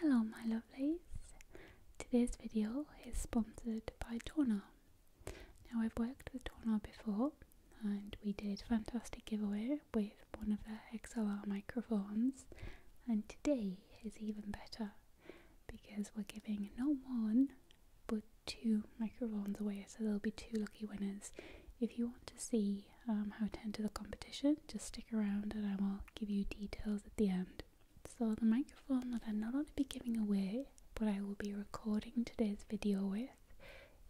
Hello my lovelies, today's video is sponsored by Tornar. Now I've worked with Tornar before and we did a fantastic giveaway with one of their XLR microphones and today is even better because we're giving another one put two microphones away, so there'll be two lucky winners. If you want to see um, how to enter the competition, just stick around and I will give you details at the end. So the microphone that I'm not only be giving away, but I will be recording today's video with,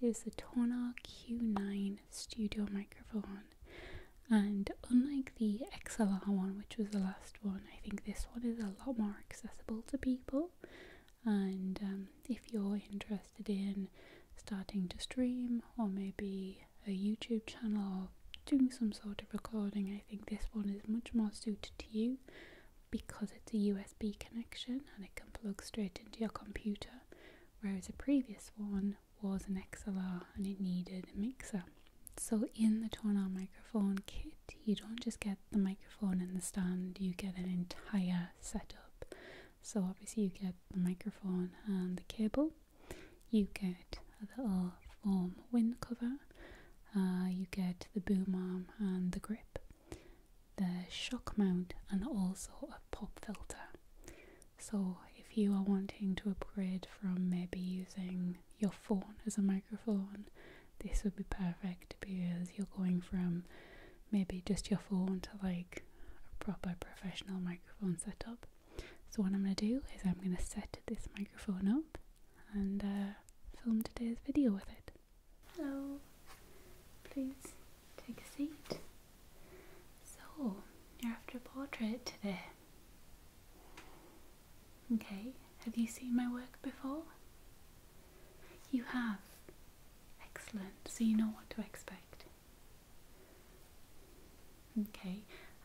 is the Tonar Q9 Studio microphone. And unlike the XLR one, which was the last one, I think this one is a lot more accessible to people and um, if you're interested in starting to stream or maybe a YouTube channel or doing some sort of recording, I think this one is much more suited to you because it's a USB connection and it can plug straight into your computer, whereas the previous one was an XLR and it needed a mixer. So in the Tonar microphone kit, you don't just get the microphone and the stand, you get an entire setup. So, obviously, you get the microphone and the cable, you get a little foam wind cover, uh, you get the boom arm and the grip, the shock mount, and also a pop filter. So, if you are wanting to upgrade from maybe using your phone as a microphone this would be perfect because you're going from maybe just your phone to like a proper professional microphone setup. So, what I'm going to do is I'm going to set this microphone up and uh, film today's video with it. Hello, please take a seat. So, you're after a portrait today. Okay, have you seen my work before? You have. Excellent. So you know what to expect. Okay.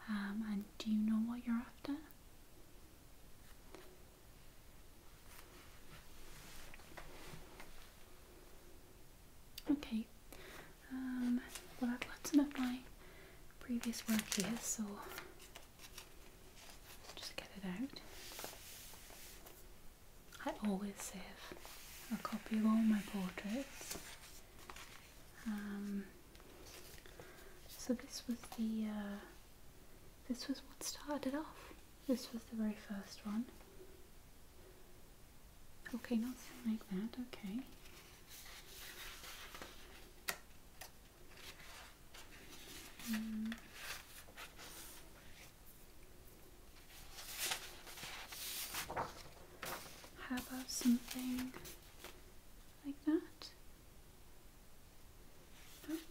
Um, and do you know what you're after? Okay. Um, well, I've got some of my previous work here, so just get it out. I always save a copy of all my portraits. Um, so this was the uh, this was what started off. This was the very first one. Okay, not something like that. Okay. Hmm. How about something like that?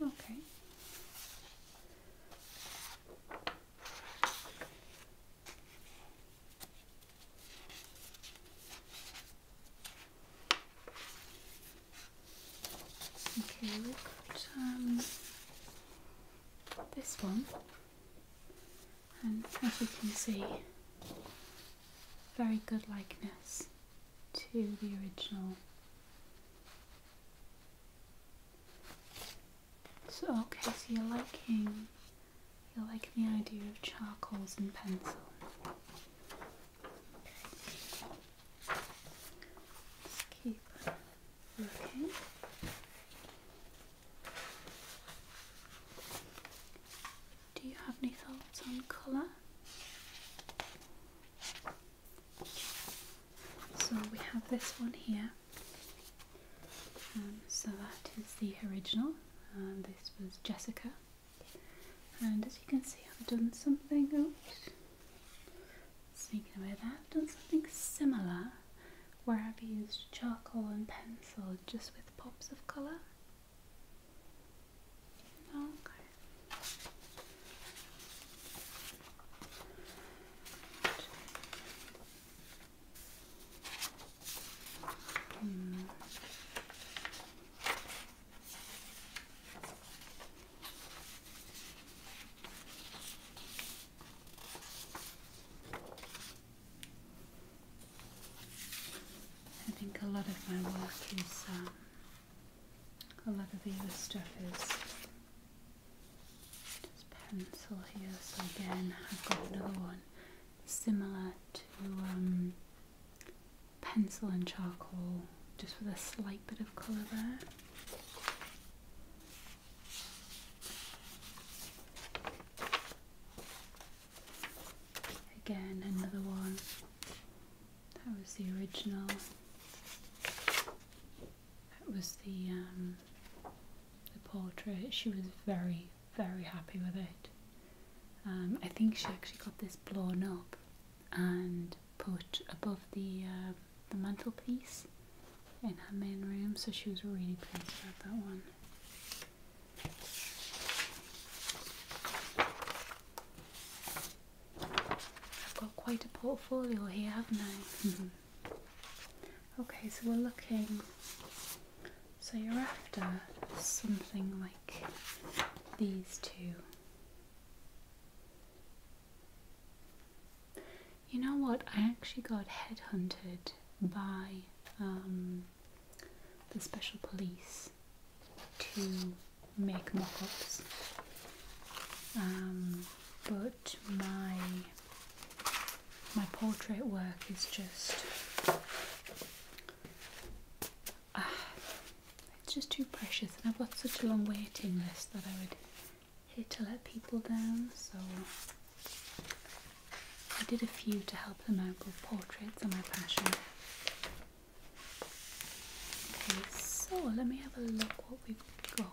okay. Okay, um, this one and as you can see very good likeness to the original so okay so you're liking you're the idea of charcoals and pencil keep do you have any thoughts on colour? So we have this one here. Um, so that is the original, and um, this was Jessica. And as you can see, I've done something. Oops. Speaking of that, I've done something similar where I've used charcoal and pencil just with pops of colour. Okay. Hmm. I think a lot of my work is, um, a lot of the other stuff is just pencil here. So again, I've got another one similar to um, pencil and charcoal, just with a slight bit of colour there. Again, another one. That was the original. That was the um, the portrait. She was very, very happy with it. Um, I think she actually got this blown up and put above the uh, the mantelpiece in her main room, so she was really pleased about that one. I've got quite a portfolio here, haven't I? Mm-hmm. okay, so we're looking. So you're after something like these two. You know what? I actually got headhunted by um, the special police to make mock ups. Um, but my my portrait work is just ah, it's just too precious and I've got such a long waiting list that I would here to let people down, so I did a few to help them out with portraits are my passion. Okay, so let me have a look what we've got.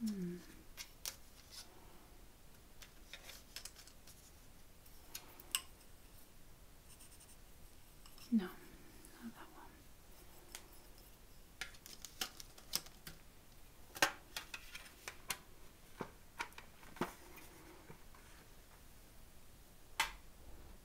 Hmm. No, not that one.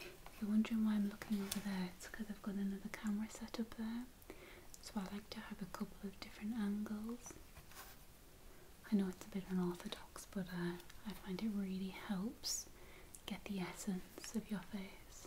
If you're wondering why I'm looking over there, it's because I've got another camera set up there. So I like to have a couple of different angles. I know it's a bit unorthodox, but uh, I find it really helps get the essence of your face.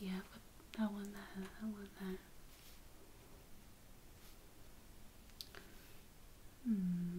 Yeah, but I want that. I want that. Hmm.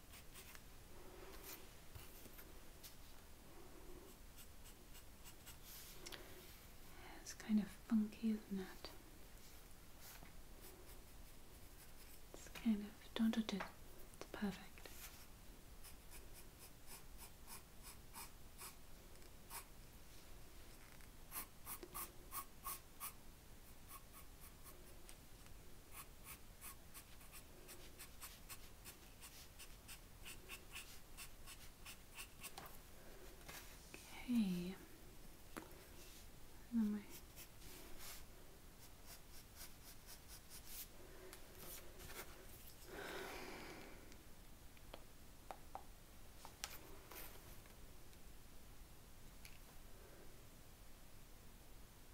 It's kind of funky, isn't it? It's kind of don't touch it. It's perfect. Okay. Then my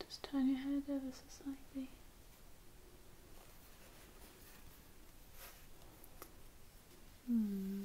Just turn your head ever so slightly. Hmm.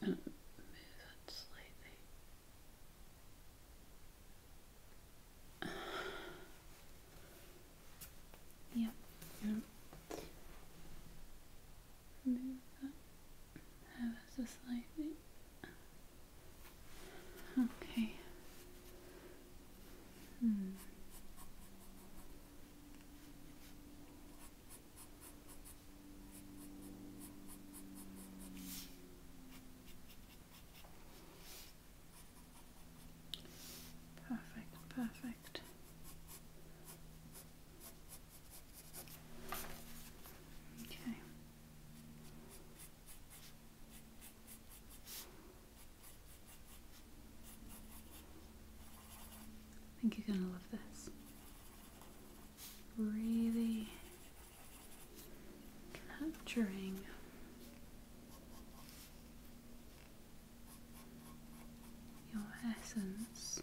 Move it slightly. Yeah. Move that ever so slightly. Okay. Hmm. Perfect, perfect. Okay. I think you're going to love this. Really capturing your essence.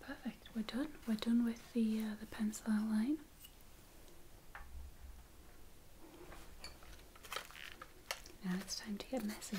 Perfect, we're done. We're done with the, uh, the pencil outline. Now it's time to get messy.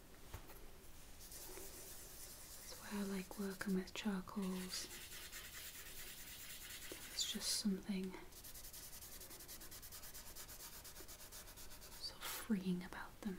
That's why I like working with charcoals. It's just something so freeing about them.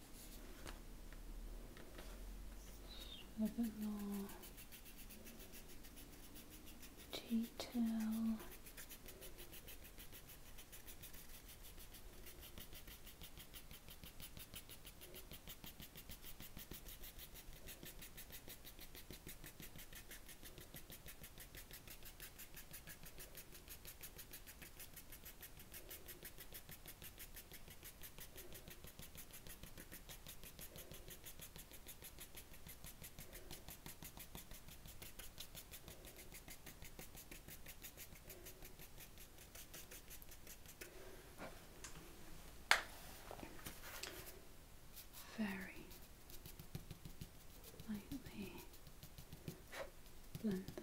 a bit more detail. Very lightly blend that.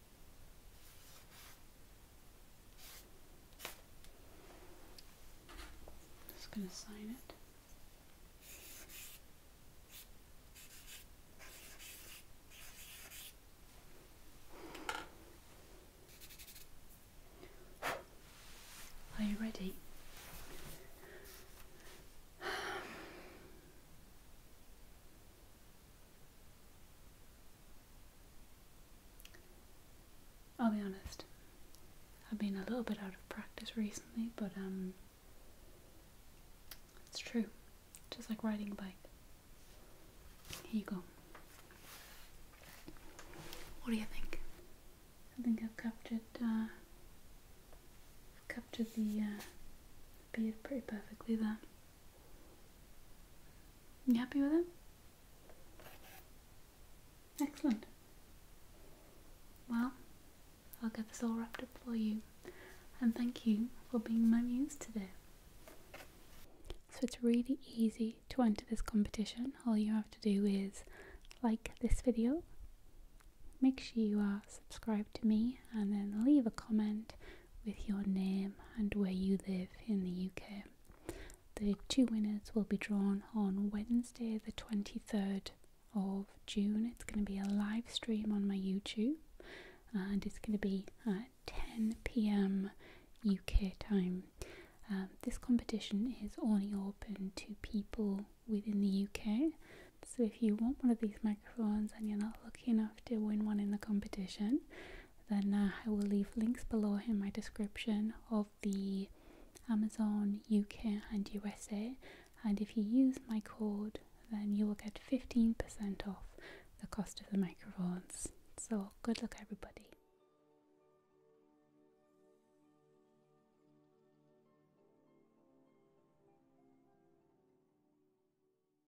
I'm just going to sign it. Are you ready? I'll be honest. I've been a little bit out of practice recently, but um, it's true. Just like riding a bike. Here you go. What do you think? I think I've captured uh, captured the uh, beard pretty perfectly there. You happy with it? Excellent. Well, I'll get this all wrapped up for you. And thank you for being my muse today. So it's really easy to enter this competition. All you have to do is like this video, make sure you are subscribed to me, and then leave a comment with your name and where you live in the UK. The two winners will be drawn on Wednesday, the 23rd of June. It's going to be a live stream on my YouTube and it's going to be at 10 pm UK time. Um, this competition is only open to people within the UK. So if you want one of these and you're not lucky enough to win one in the competition, then uh, I will leave links below in my description of the Amazon UK and USA. And if you use my code, then you will get 15% off the cost of the microphones. So, good luck, everybody.